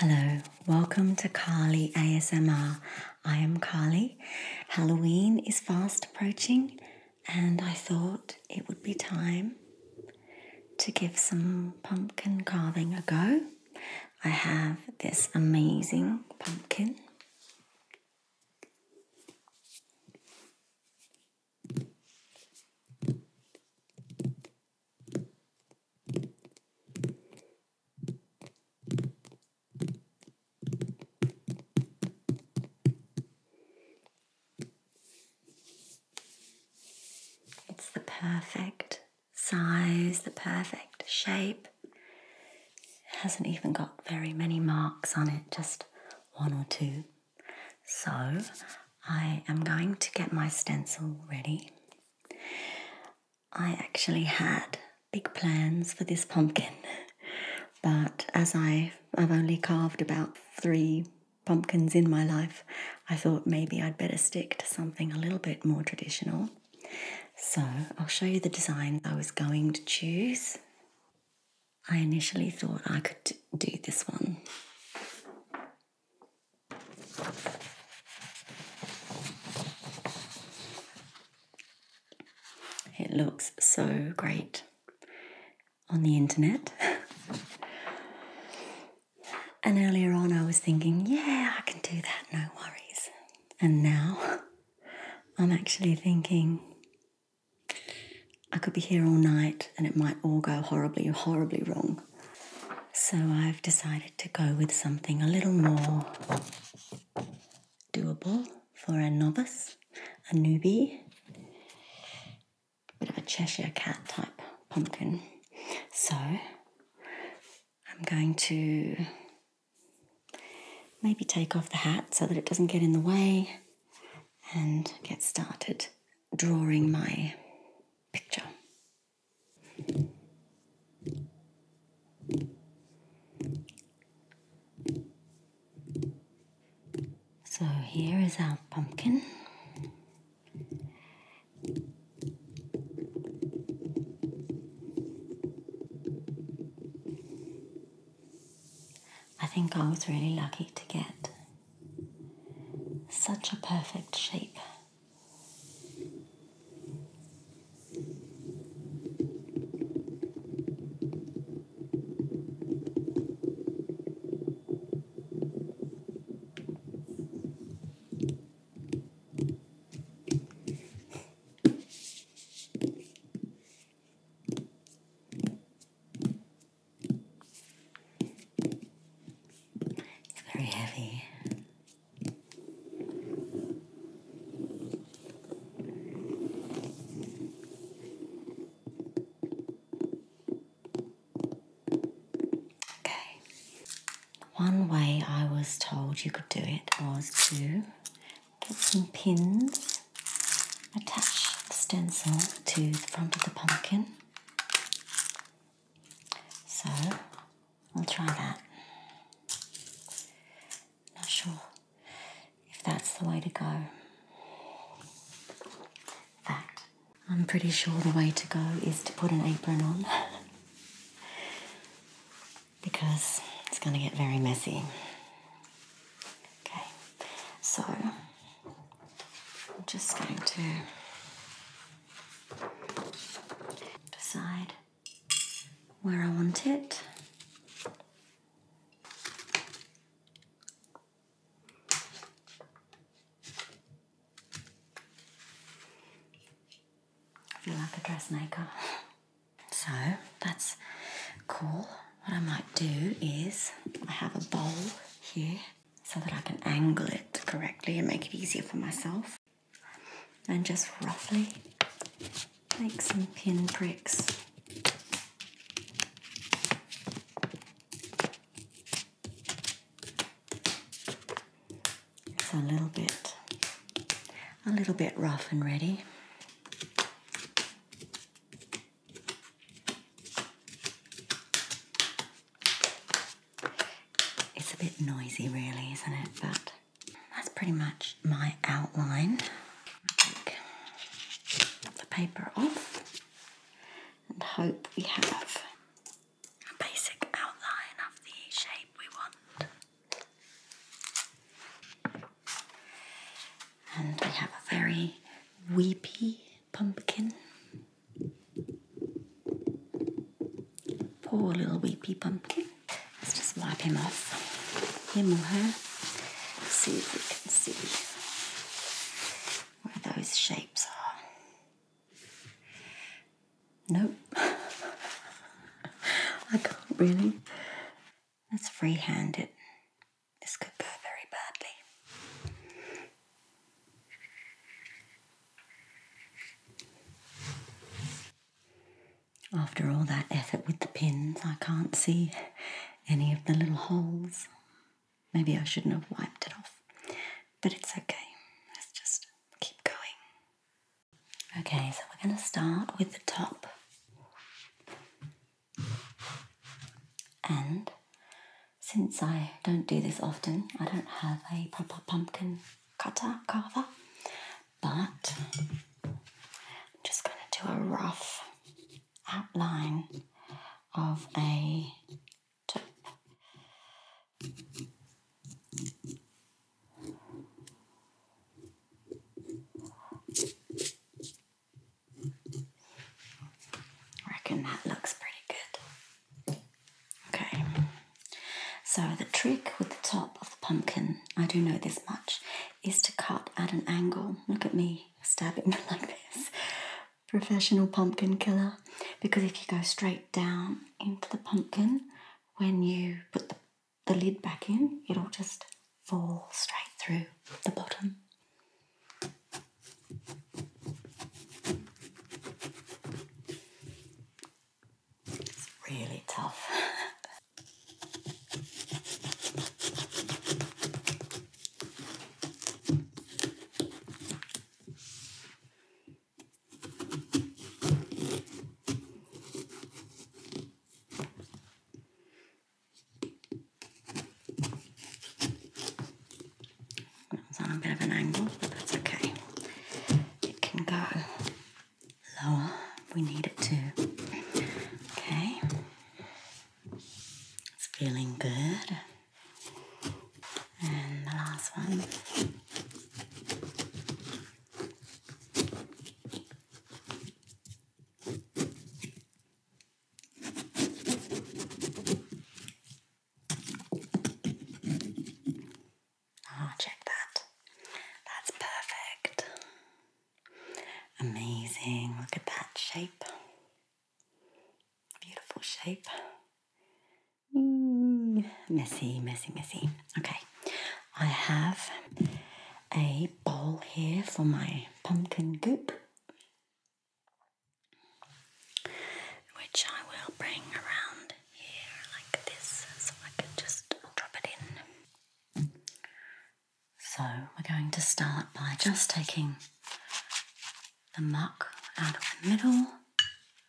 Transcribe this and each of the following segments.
Hello, welcome to Carly ASMR. I am Carly. Halloween is fast approaching, and I thought it would be time to give some pumpkin carving a go. I have this amazing pumpkin. It's the perfect size, the perfect shape. It hasn't even got very many marks on it, just one or two. So I am going to get my stencil ready. I actually had big plans for this pumpkin, but as I, I've only carved about three pumpkins in my life, I thought maybe I'd better stick to something a little bit more traditional. So I'll show you the designs I was going to choose. I initially thought I could do this one. It looks so great on the internet. and earlier on, I was thinking, yeah, I can do that, no worries. And now I'm actually thinking I could be here all night and it might all go horribly, horribly wrong. So I've decided to go with something a little more doable for a novice, a newbie, a bit of a Cheshire cat type pumpkin. So I'm going to Maybe take off the hat so that it doesn't get in the way and get started drawing my picture. So here is our pumpkin. I think I was really lucky to get such a perfect shape. It's very heavy. Okay. One way I was told you could do it was to get some pins, attach the stencil to the front of the pumpkin. So I'll try that. Not sure if that's the way to go. In I'm pretty sure the way to go is to put an apron on. because it's going to get very messy. Okay, so I'm just going to decide where I want it. I feel like a dressmaker. So that's cool. What I might do is I have a bowl here so that I can angle it correctly and make it easier for myself. And just roughly make some pin pricks. It's a little bit, a little bit rough and ready. It's a bit noisy really, isn't it? But that's pretty much my outline. Take the paper off and hope we have a basic outline of the shape we want. And we have a very weepy pumpkin. Poor little weepy pumpkin. Let's just wipe him off, him or Let's see if we can see where those shapes are. Nope. I can't really. That's free handed. This could go very badly. After all that effort with the pins, I can't see any of the little holes. Maybe I shouldn't have wiped it off, but it's okay. Let's just keep going. Okay, so we're going to start with the top and since I don't do this often, I don't have a proper pumpkin cutter carver, but I'm just going to do a rough outline of a top reckon that looks pretty good. Okay, so the trick with the top of the pumpkin, I do know this much, is to cut at an angle. Look at me stabbing like this. Professional pumpkin killer. Because if you go straight down into the pumpkin, when you put the, the lid back in, it'll just fall straight through the bottom. It's really tough. That on a bit of an angle, but that's okay. It can go lower we need it to. Okay. It's feeling good. And the last one. Ah, oh, check that. That's perfect. Amazing. Look at that shape. Beautiful shape messy, messy, messy. Okay, I have a bowl here for my pumpkin goop, which I will bring around here like this so I can just drop it in. So, we're going to start by just taking the muck out of the middle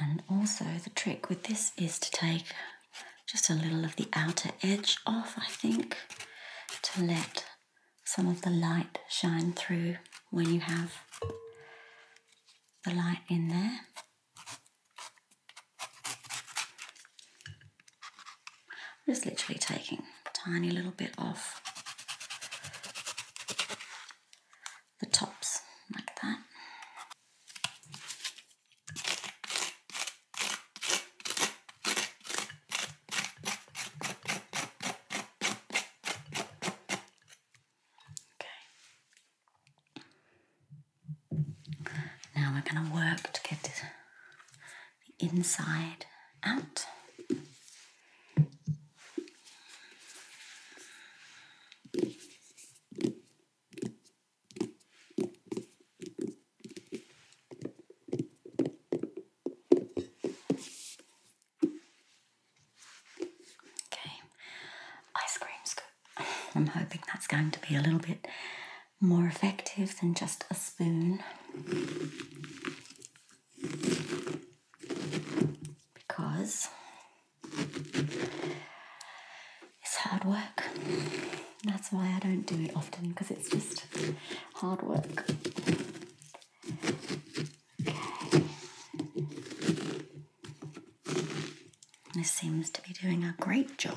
And also the trick with this is to take just a little of the outer edge off, I think, to let some of the light shine through when you have the light in there just literally taking tiny little bit off the tops like that. Okay. Now we're going to work to get this the inside out. Okay, ice cream scoop. I'm hoping that's going to be a little bit more effective than just a spoon because it's hard work. That's why I don't do it often because it's just hard work. Okay. This seems to be doing a great job.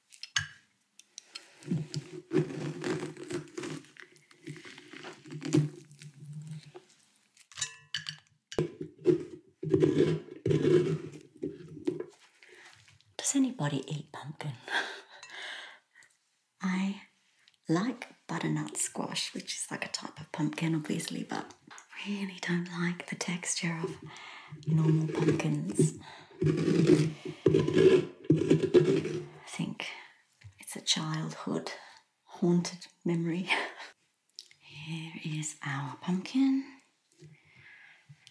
Does anybody eat pumpkin? I like butternut squash, which is like a type of pumpkin, obviously, but really don't like the texture of normal pumpkins. I think it's a childhood haunted memory. Here is our pumpkin.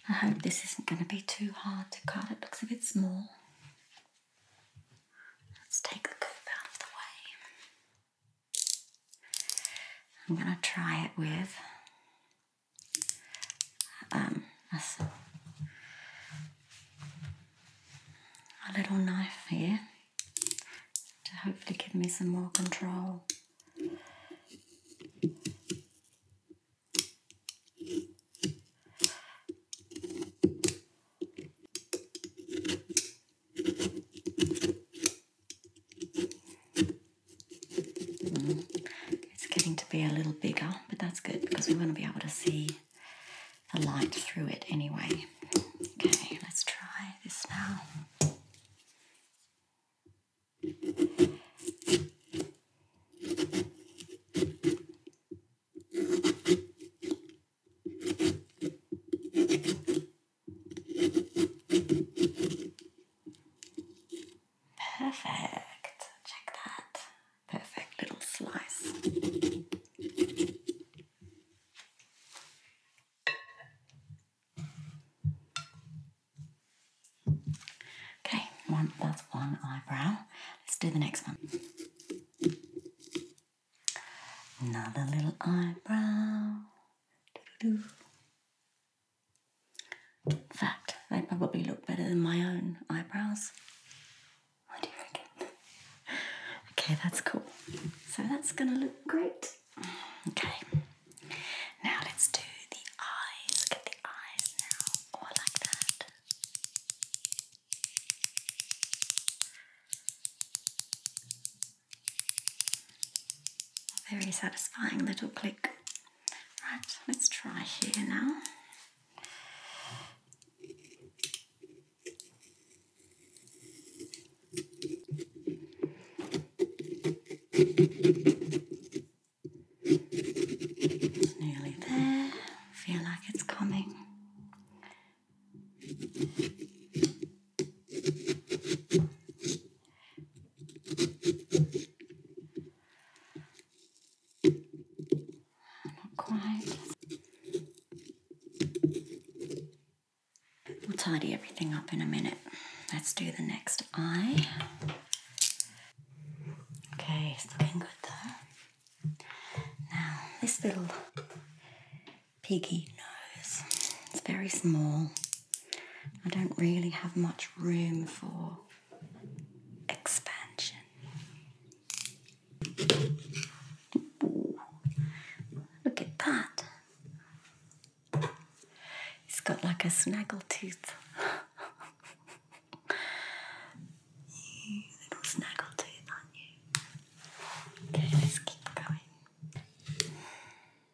I hope this isn't going to be too hard to cut. It looks a bit small. Let's take the goop out of the way. I'm going to try it with um, a little knife here to hopefully give me some more control. It's getting to be a little bigger, but that's good because we want to be able to see the light through it anyway. Okay, let's try this now. Perfect. Check that. Perfect little slice. Okay, one, that's one eyebrow. Let's do the next one. Another little eyebrow. In fact, they probably look better than my own eyebrows. okay, that's cool. So that's gonna look great. Okay, now let's do the eyes. Get the eyes now, or oh, like that. Very satisfying little click. Right, let's try here now. It's nearly there. Feel like it's coming. Not quite. We'll tidy everything up in a minute. Let's do the next eye. Okay, it's looking good though. Now, this little piggy nose, it's very small. I don't really have much room for expansion. look at that. It's got like a snaggle tooth. you little snaggle tooth, are you? Okay, let's keep going.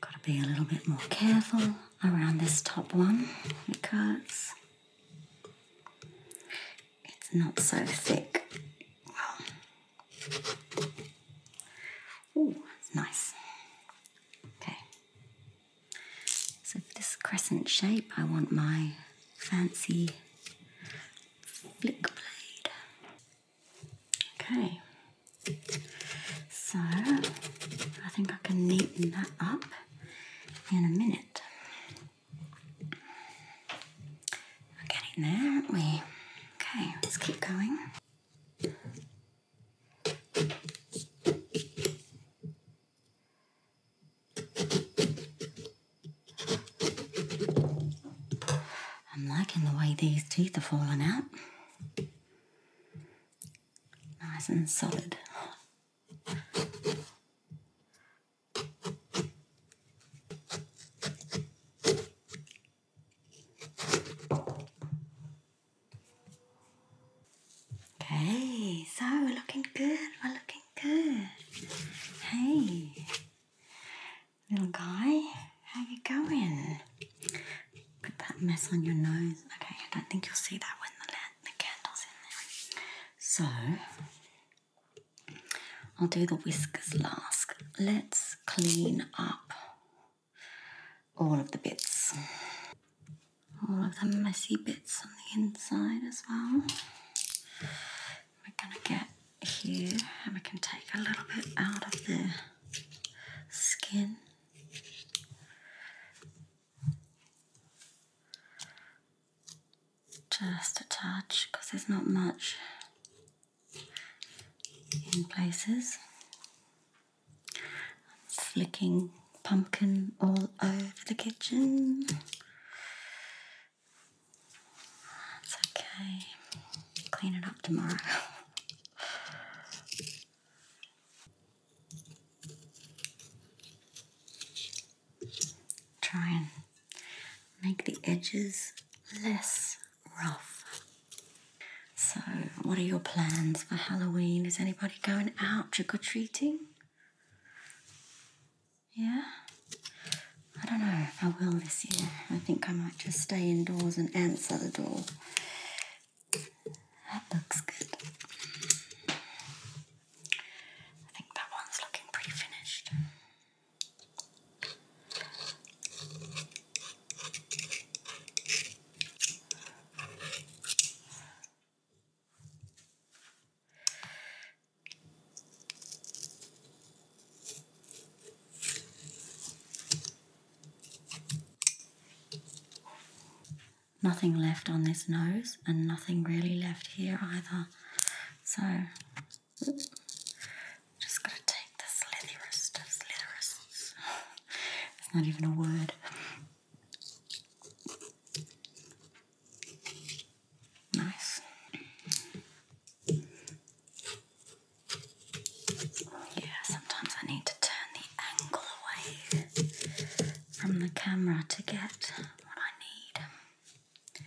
Got to be a little bit more careful around this top one because it's not so thick. Oh, that's nice. Okay. So for this crescent shape, I want my fancy flick blade. Okay. So I think I can neaten that up in a minute. We're getting there, we? Okay, let's keep going. I'm liking the way these teeth are falling out. Nice and solid. Okay, so we're looking good, we're looking good. Hey, little guy, how you going? Put that mess on your nose. Okay, I don't think you'll see that when the, the candle's in there. So, I'll do the whiskers last. Let's clean up all of the bits, all of the messy bits on the inside as well. We're gonna get here and we can take a little bit out of the skin. Just a touch because there's not much in places. flicking pumpkin all over the kitchen. That's okay. Clean it up tomorrow. Try and make the edges less rough. So, what are your plans for Halloween? Is anybody going out trick or treating? Yeah? I don't know I will this year. I think I might just stay indoors and answer the door. That looks good. I think that one's looking pretty finished. Nothing left on this nose and nothing really left here either. So, just gonna take this slitherist of slitherist. it's not even a word. Nice. Yeah, sometimes I need to turn the angle away from the camera to get what I need.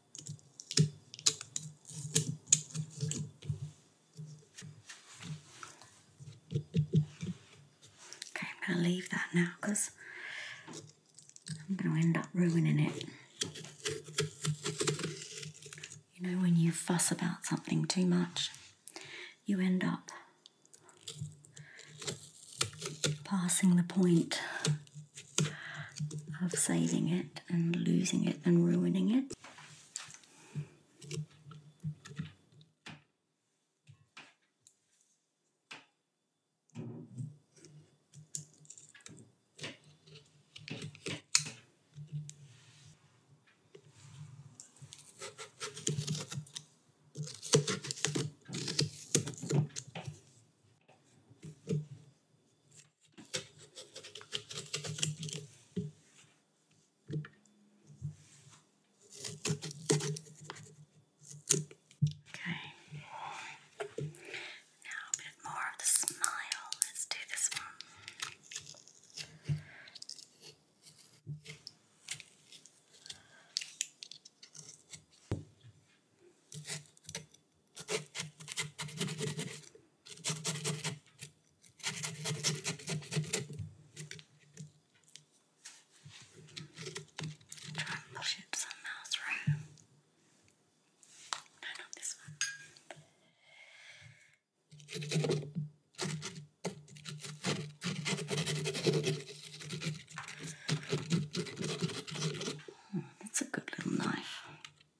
Okay, I'm going to leave that now because I'm going to end up ruining it. You know, when you fuss about something too much, you end up passing the point of saving it and losing it and ruining it. Okay. Now a bit more of the smile. Let's do this one. Okay. Try and push it some miles through. No, not this one. Hmm, that's a good little knife.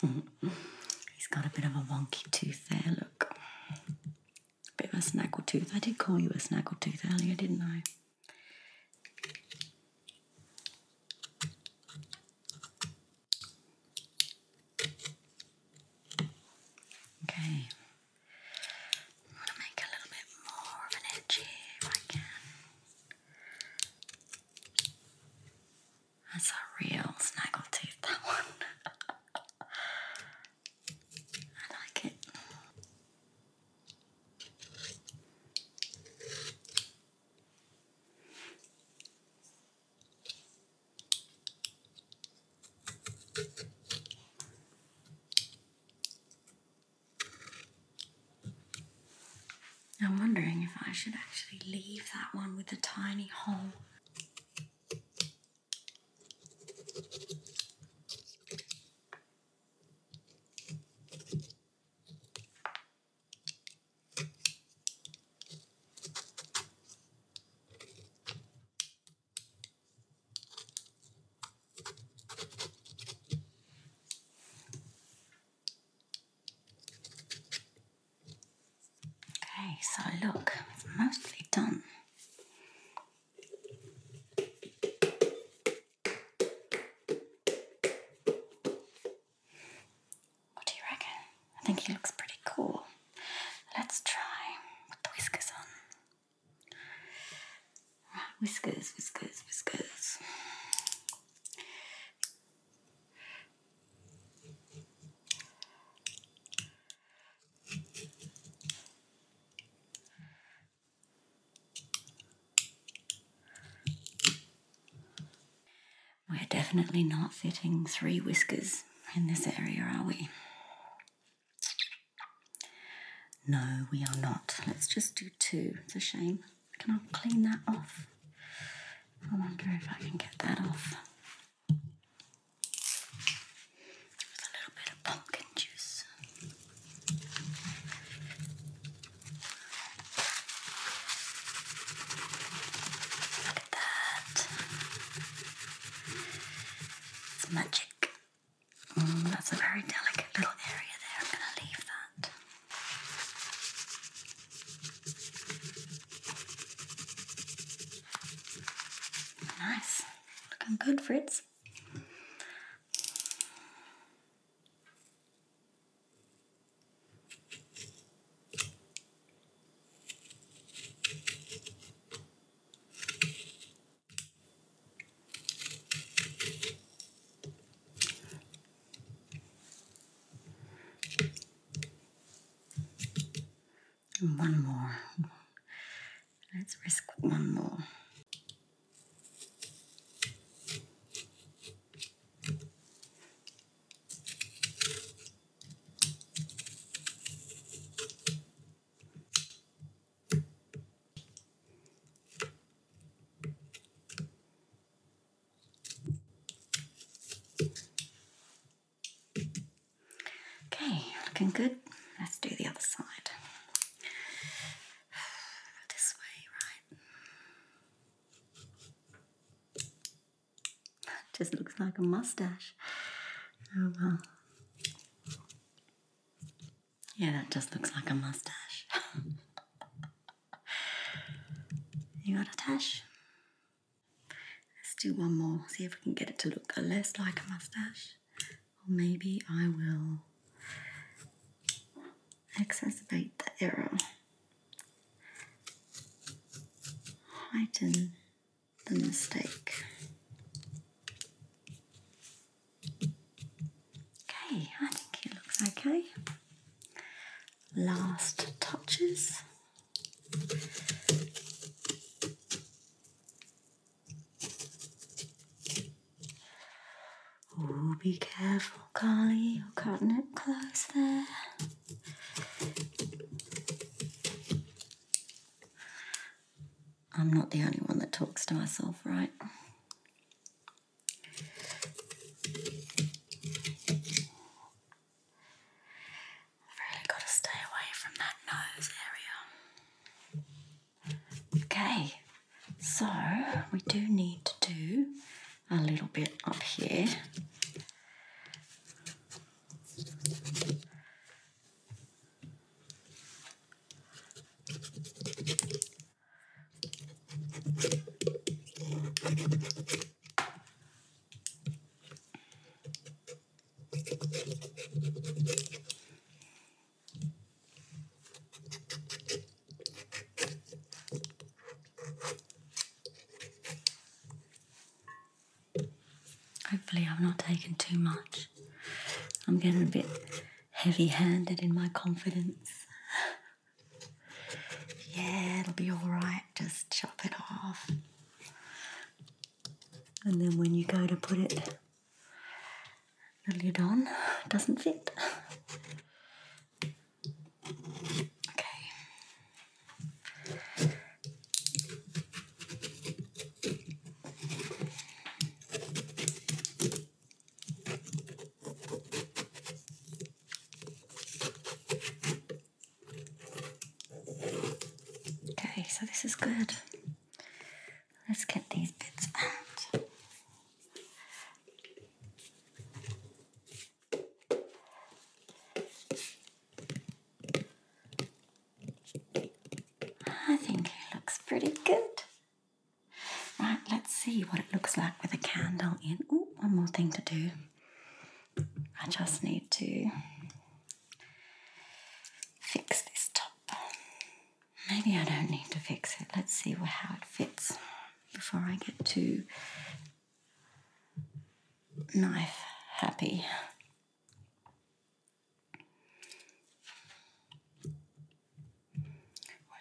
He's got a bit of a wonky tooth there, look. A bit of a snaggle tooth. I did call you a snaggle tooth earlier, didn't I? Okay, I'm to make a little bit more of an edge if I can. That's a real tooth, that one. I like it. I'm wondering if I should actually leave that one with a tiny hole. Okay, so look, it's mostly done. What do you reckon? I think he looks pretty cool. Let's try with the whiskers on. Right, whiskers, whiskers, whiskers. We're definitely not fitting three whiskers in this area, are we? No, we are not. Let's just do two. It's a shame. Can I clean that off? I wonder if I can get that off. With a little bit of pumpkin juice. Look at that. It's magic. Mm, that's a very delicate little area there. I'm going to leave that. Nice. Looking good, Fritz. One more. Let's risk one more. Okay, looking good. Let's do the other side. This way, right? Just looks like a mustache. Oh well. Yeah, that just looks like a mustache. you got a tash? Let's do one more, see if we can get it to look less like a mustache. Or maybe I will exacerbate the error, heighten the mistake. Okay, I think it looks okay. Last touches. Oh, be careful, Carly. You're cutting it close there. I'm not the only one that talks to myself, right? I've really got to stay away from that nose area. Okay, so we do need to do a little bit up here. Hopefully, I've not taken too much. I'm getting a bit heavy handed in my confidence. yeah, it'll be alright, just chop it off. And then when you go to put it, the lid on, doesn't fit. Okay. Okay, so this is good. Let's get these bits out. I think it looks pretty good. Right, let's see what it looks like with a candle in. Oh, one more thing to do. I just need to fix this top. Maybe I don't need to fix it. Let's see how it fits before I get too knife happy.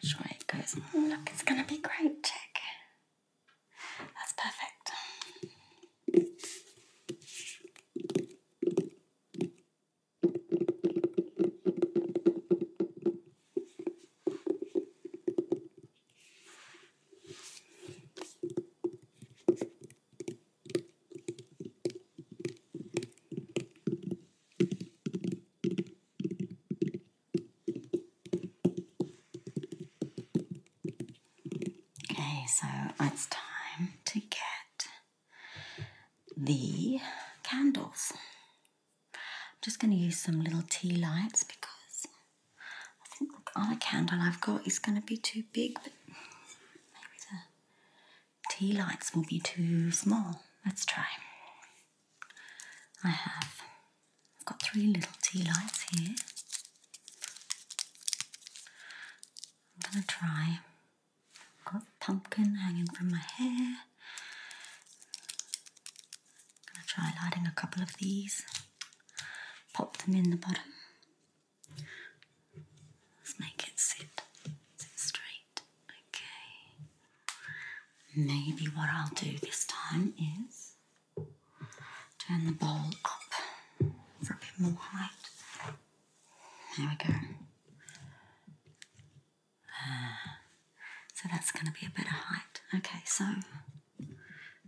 Which way it goes? Oh, look, it's going to be great. Check. That's perfect. Okay, so it's time to get the candles. I'm just going to use some little tea lights because I think the other candle I've got is going to be too big, but maybe the tea lights will be too small. Let's try. I have I've got three little tea lights here. I'm going to try. I've got pumpkin hanging from my hair. I'm going to try lighting a couple of these, pop them in the bottom. Let's make it sit, sit straight. Okay. Maybe what I'll do this time is turn the bowl up for a bit more light. There we go. so that's going to be a better height. Okay, so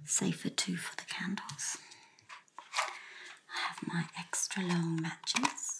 safer too for the candles. I have my extra long matches.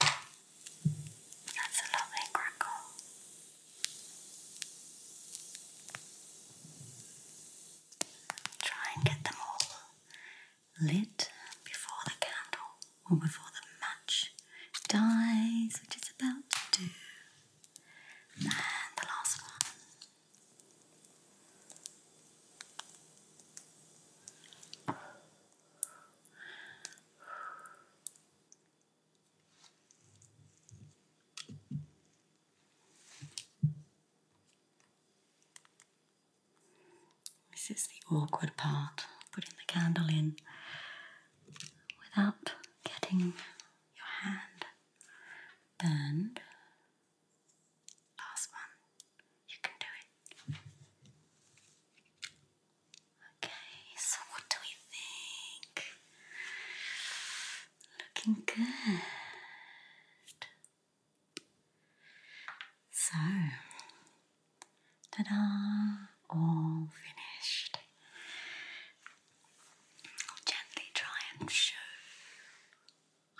That's a lovely crackle. Try and get them all lit before the candle or before the match dies, which is about to do. And the last one. This is the awkward part, putting the candle in without getting your hand burned. Last one, you can do it. Okay, so what do we think? Looking good. So, ta da! All finished. I'll gently try and show.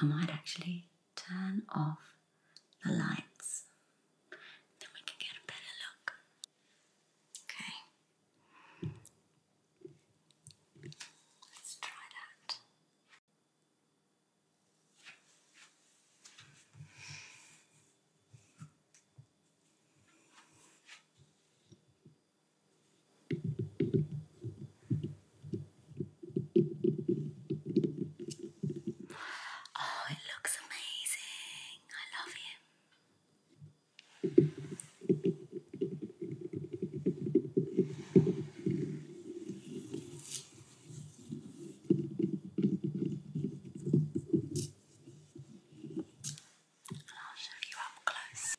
I might actually turn off the lights. Then we can get a better look. Okay. Let's try that. Oh, it looks amazing. I love him. And I'll show you up close.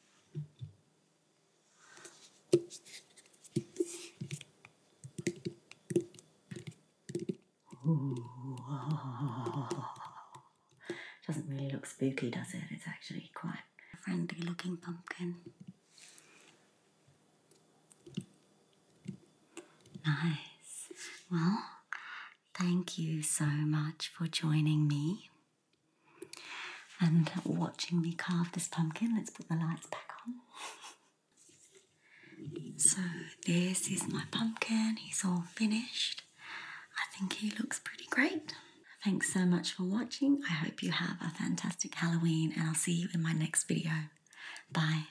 It Doesn't really look spooky, does it? It's actually quite a friendly looking pumpkin. Nice. Well, thank you so much for joining me and watching me carve this pumpkin. Let's put the lights back on. So this is my pumpkin, he's all finished. I think he looks pretty great. Thanks so much for watching. I hope you have a fantastic Halloween and I'll see you in my next video. Bye.